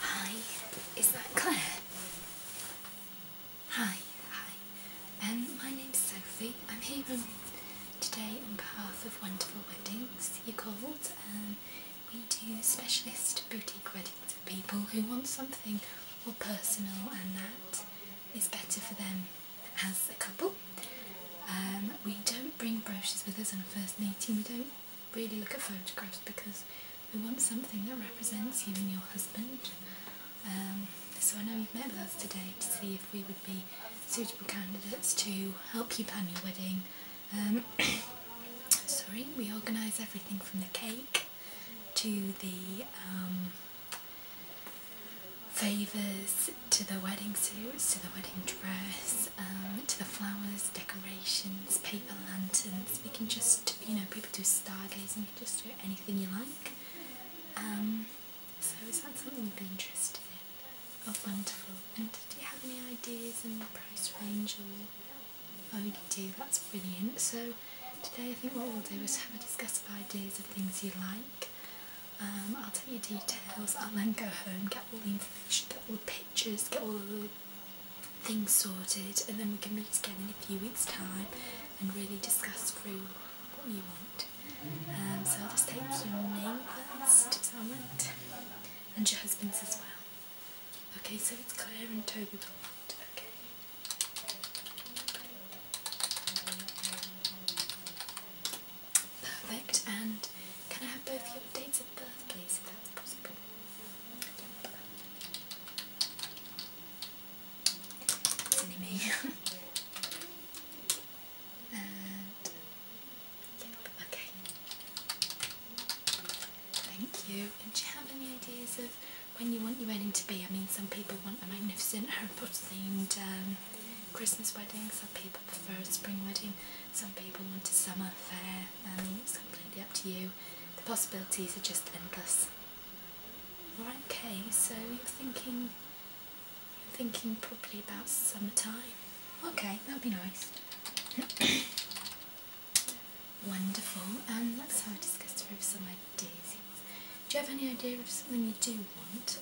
Hi, is that Claire? Hi, hi. Um, my name's Sophie. I'm here on um, today on behalf of Wonderful Weddings. You called. and um, we do specialist boutique weddings for people who want something more personal and that is better for them as a couple. Um, we don't bring brochures with us on a first meeting, we don't really look at photographs because we want something that represents you and your husband. Um, so I know you've met with us today to see if we would be suitable candidates to help you plan your wedding. Um, sorry, we organise everything from the cake to the favours to the wedding suits, to the wedding dress, um, to the flowers, decorations, paper lanterns. We can just, you know, people do stargazing, you can just do anything you like. Um, so is that something you'd be interested in? Oh, wonderful. And do you have any ideas on the price range or... Oh, you do, that's brilliant. So today I think what we'll do is have a discuss of ideas of things you like. Um, I'll tell you details. I'll then go home, get all the information, get all the pictures, get all the things sorted, and then we can meet again in a few weeks' time and really discuss through what you want. Um, so I'll just take your name first, Salmond, and your husband's as well. Okay, so it's Claire and Toby Okay. Perfect. And can I have both your dates of birth, please, if that's possible? Yep. Silly okay. Thank you. do you have any ideas of when you want your wedding to be? I mean, some people want a magnificent, Harry Potter themed um, Christmas wedding. Some people prefer a spring wedding, some people want a summer fair, and it's completely up to you. The possibilities are just endless. Right. Kay, so you're thinking you're thinking probably about summertime. Okay, that'd be nice. Wonderful, and let's have a discussion through some ideas. Do you have any idea of something you do want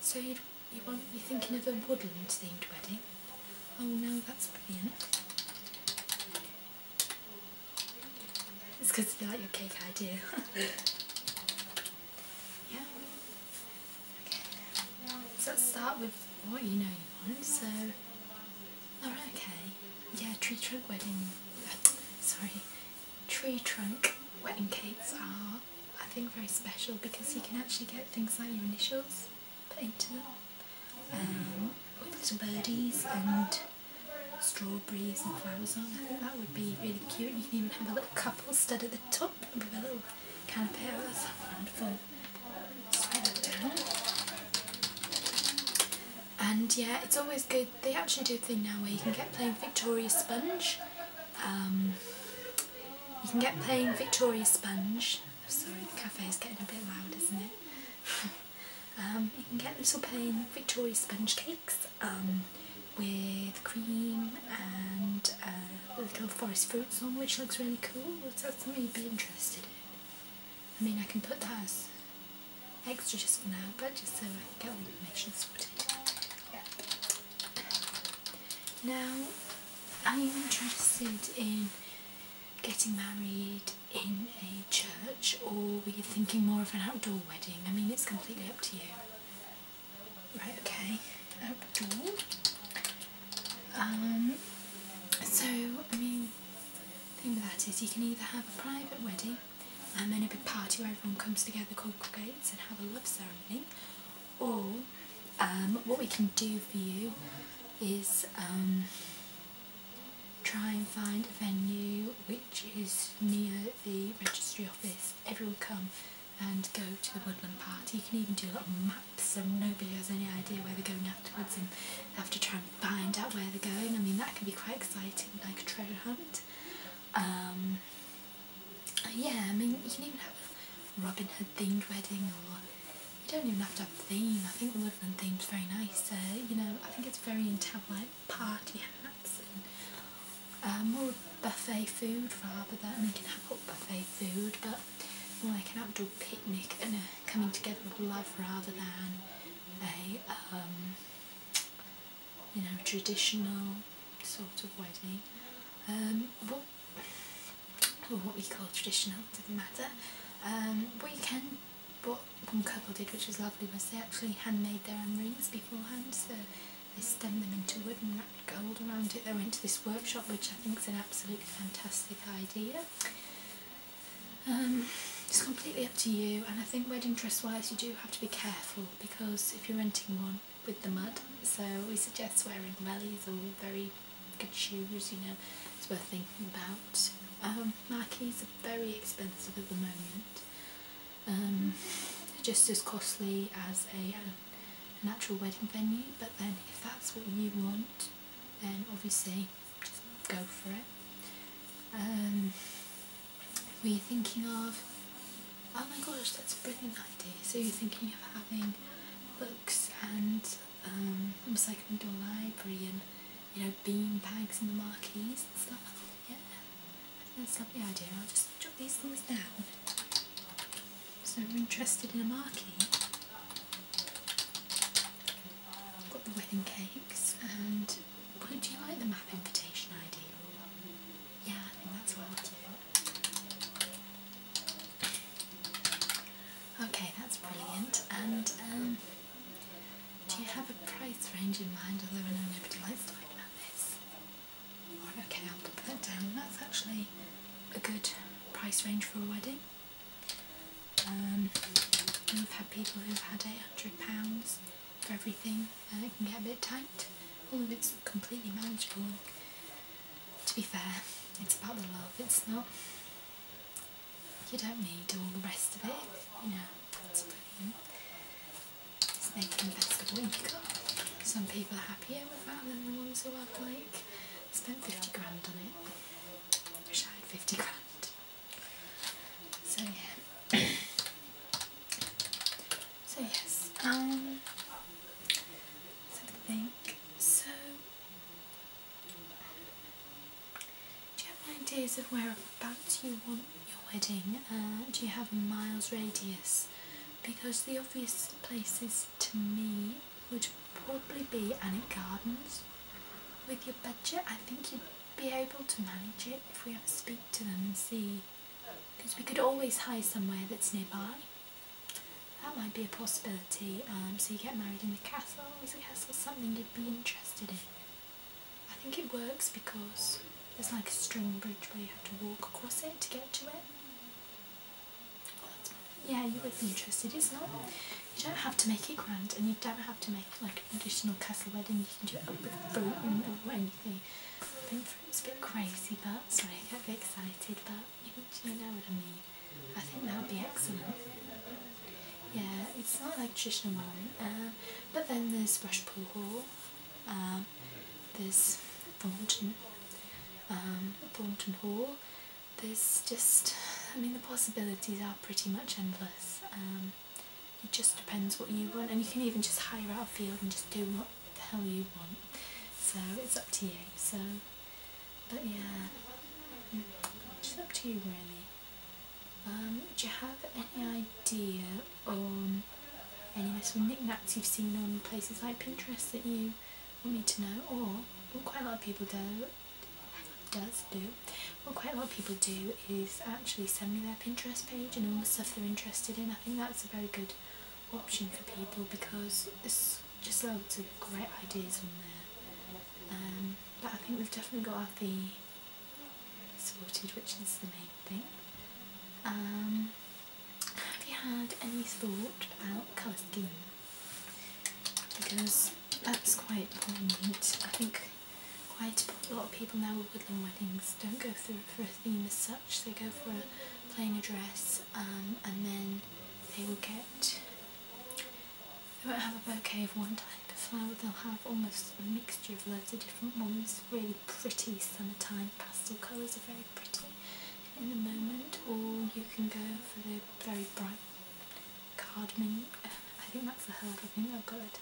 so you you want you're thinking of a woodland themed wedding? Oh no, that's brilliant. It's because you like your cake idea. yeah. Okay. So start with what you know you want. So, okay. Yeah, tree trunk wedding. Sorry, tree trunk wedding cakes are I think very special because you can actually get things like your initials put into them um, with little birdies and strawberries and flowers on. I think that would be really cute. You can even have a little couple stud at the top with a little canopy. or something. And yeah, it's always good they actually do a thing now where you can get plain Victoria sponge. Um, you can get plain Victoria sponge. Oh, sorry, the cafe is getting a bit loud, isn't it? Um, you can get little plain Victoria sponge cakes um, with cream and uh, little forest fruits on, which looks really cool. So that's something you'd be interested in. I mean, I can put that as extra just for now, but just so I can get all the information sorted. Now, I'm interested in getting married in a church, or were you thinking more of an outdoor wedding? I mean, it's completely up to you. Right, okay, outdoor. Um, so, I mean, the thing with that is you can either have a private wedding and then a big party where everyone comes together, congregates and have a love ceremony. Or um, what we can do for you is um, try and find a venue which is near the registry office. Everyone come and go to the woodland party. You can even do a little maps so nobody has any idea where they're going afterwards and have to try and find out where they're going. I mean that can be quite exciting, like a treasure hunt. Um, uh, yeah, I mean, you can even have a Robin Hood themed wedding, or you don't even have to have a theme. I think the woodland theme's very nice. Uh, you know, I think it's very into like party hats and uh, more buffet food rather than we can have hot buffet food, but more like an outdoor picnic and a coming together of love rather than a um, you know, traditional sort of wedding. Um, or oh, what we call traditional, doesn't matter. Um, we can, what one couple did, which was lovely, was they actually handmade their own rings beforehand. So they stemmed them into wood and wrapped gold around it. They went to this workshop, which I think is an absolutely fantastic idea. Um, it's completely up to you, and I think wedding dress wise, you do have to be careful because if you're renting one with the mud, so we suggest wearing wellies or very good shoes, you know, it's worth thinking about. Um, are very expensive at the moment, um, just as costly as a, natural wedding venue, but then if that's what you want, then obviously just go for it. Um, were you thinking of, oh my gosh, that's a brilliant idea. So you're thinking of having books and um, like to a library and, you know, bean bags and the marquees and stuff. Yeah, I think that's a lovely idea. I'll just jot these things down. So we're interested in a marquee. I've got the wedding cakes and would you like the map invitation idea? Yeah, I think that's well due. Okay, that's brilliant. And um, do you have a price range in mind? I know nobody likes talking about this. okay, I'll put that down. That's actually a good price range for a wedding. Um, we've had people who've had £800 for everything. Uh, it can get a bit tight, all of it's completely manageable. To be fair, it's about the love, it's not... You don't need all the rest of it, you know, it's making the best of Some people are happier with that than the ones who have, like, spent 50 grand on it. Wish I had 50 grand. So yeah. So yes, um, let have a think. So, do you have ideas of whereabouts you want your wedding? Uh, do you have a miles radius? Because the obvious places to me would probably be Annick Gardens. With your budget, I think you'd be able to manage it if we ever speak to them and see because we could always hide somewhere that's nearby. That might be a possibility. Um, so you get married in the castle. Is a castle something you'd be interested in? I think it works because there's like a string bridge where you have to walk across it to get to it. Yeah, you would be interested. is not. it? You don't have to make it grand, and you don't have to make like an additional castle wedding. You can do it up with fruit and, and I anything. It's a bit crazy, but sorry, I get a bit excited, but you, know what I mean. I think that would be excellent. Yeah, it's not like traditional one, um, but then there's Rushpool Hall, um, there's Thornton, um, Thornton Hall. There's just, I mean, the possibilities are pretty much endless. Um, it just depends what you want, and you can even just hire out a field and just do what the hell you want. So it's up to you. So, but yeah, it's up to you really. Um, do you have any idea on any little knickknacks you've seen on places like Pinterest that you want me to know, or what quite a lot of people do? does do. What quite a lot of people do is actually send me their Pinterest page and all the stuff they're interested in. I think that's a very good option for people because there's just loads of great ideas on there. Um, but I think we've definitely got our fee sorted, which is the main thing. Um, have you had any thought about colour scheme? Because that's quite poignant. I think quite a lot of people now at woodland weddings don't go through for a theme as such, they go for a plain address um, and then they will get, they won't have a bouquet of one type of flower, they'll have almost a mixture of loads of different ones, really pretty summertime pastel colours are very pretty in the moment or you can go for the very bright card cardamom, I think that's the herb, I I've got it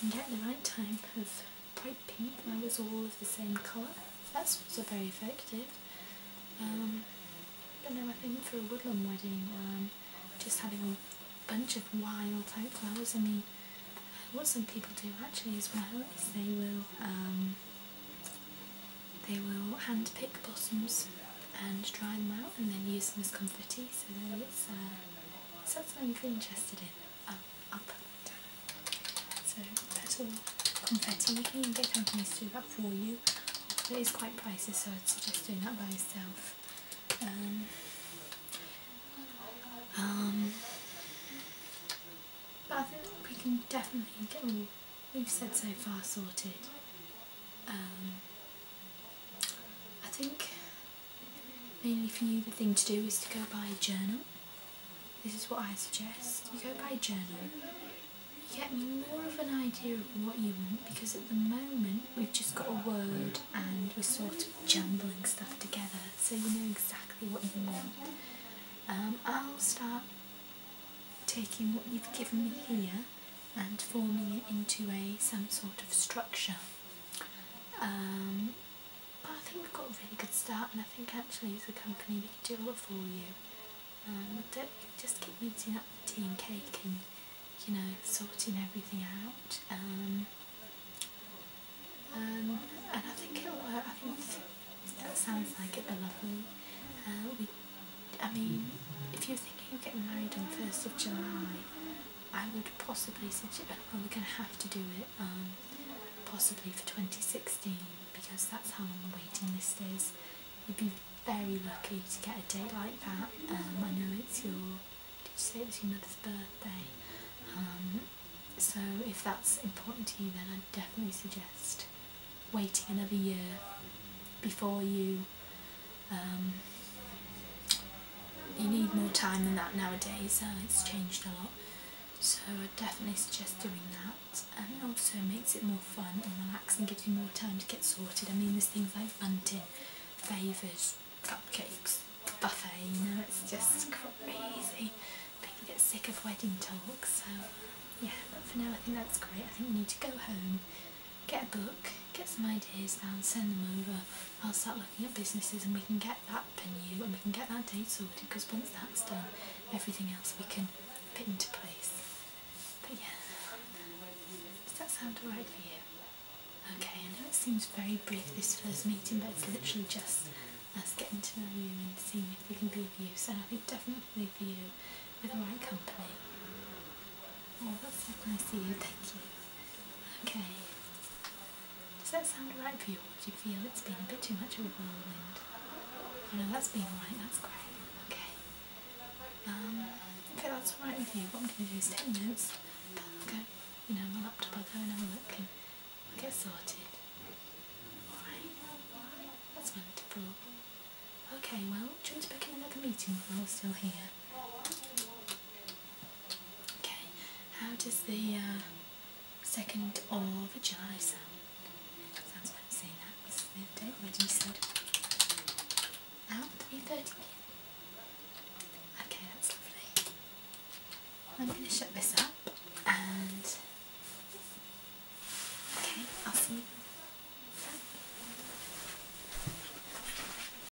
and get the right type of bright pink now it's all of the same colour. That's also very effective. Um, but then I think for a woodland wedding, um, just having a bunch of wild type flowers, I mean, what some people do actually is well they will um, they will hand pick blossoms and dry them out and then use them as confetti so that's it's, uh, it's something you're interested in up, up, down. So that's all confetti. You can get companies to do that for you, but it's quite pricey, so I'd suggest doing that by yourself. Um, um, but I think we can definitely get all we've said so far sorted. Um, I think Mainly for you the thing to do is to go buy a journal. This is what I suggest. You go buy a journal. You get more of an idea of what you want because at the moment we've just got a word and we're sort of jumbling stuff together so you know exactly what you want. Um, I'll start taking what you've given me here and forming it into a some sort of structure um, but I think we've got a really good start and I think actually it's a company we can do a for um, you. just keep meeting up for tea and cake and you know sorting everything out. Um, and I think it'll work. I think that sounds like it'd be lovely. Uh, we, I mean, if you're thinking of getting married on the 1st of July, I would possibly suggest, well we're going to have to do it um, possibly for 2016 because that's how long the waiting list is. You'd be very lucky to get a date like that. Um, I know it's your, did you say it was your mother's birthday? Um, so if that's important to you then I'd definitely suggest waiting another year before you um, you need more time than that nowadays, uh, it's changed a lot. So I definitely suggest doing that and it also makes it more fun and and gives you more time to get sorted. I mean there's things like bunting, favours, cupcakes, buffet, you know, it's just crazy. People get sick of wedding talk, so yeah, but for now I think that's great. I think you need to go home, get a book, get some ideas down, send them over. I'll start looking you businesses and we can get that venue and we can get that date sorted because once that's done everything else we can fit into place. But yeah, does that sound alright for you? Okay, I know it seems very brief this first meeting but it's literally just us getting to know you and seeing if we can be of use and I think definitely for you with the right company. Oh, that's so nice of you, thank you. Okay. Does that sound right for you or do you feel it's been a bit too much of a whirlwind? Oh no, that's been alright, that's great. Okay. Okay, um, that's alright with you, what I'm going to do is take notes. Okay. I'll go, you know, my laptop, I'll go and and we'll get sorted. Alright. That's wonderful. Okay, well, Joe's back in another meeting while we're still here. Okay, how does the uh, second of July sound? Sounds like saying that was the other day already, you said. Out, 3.30 Okay, that's lovely. I'm going to shut this up and... Okay, I'll see you.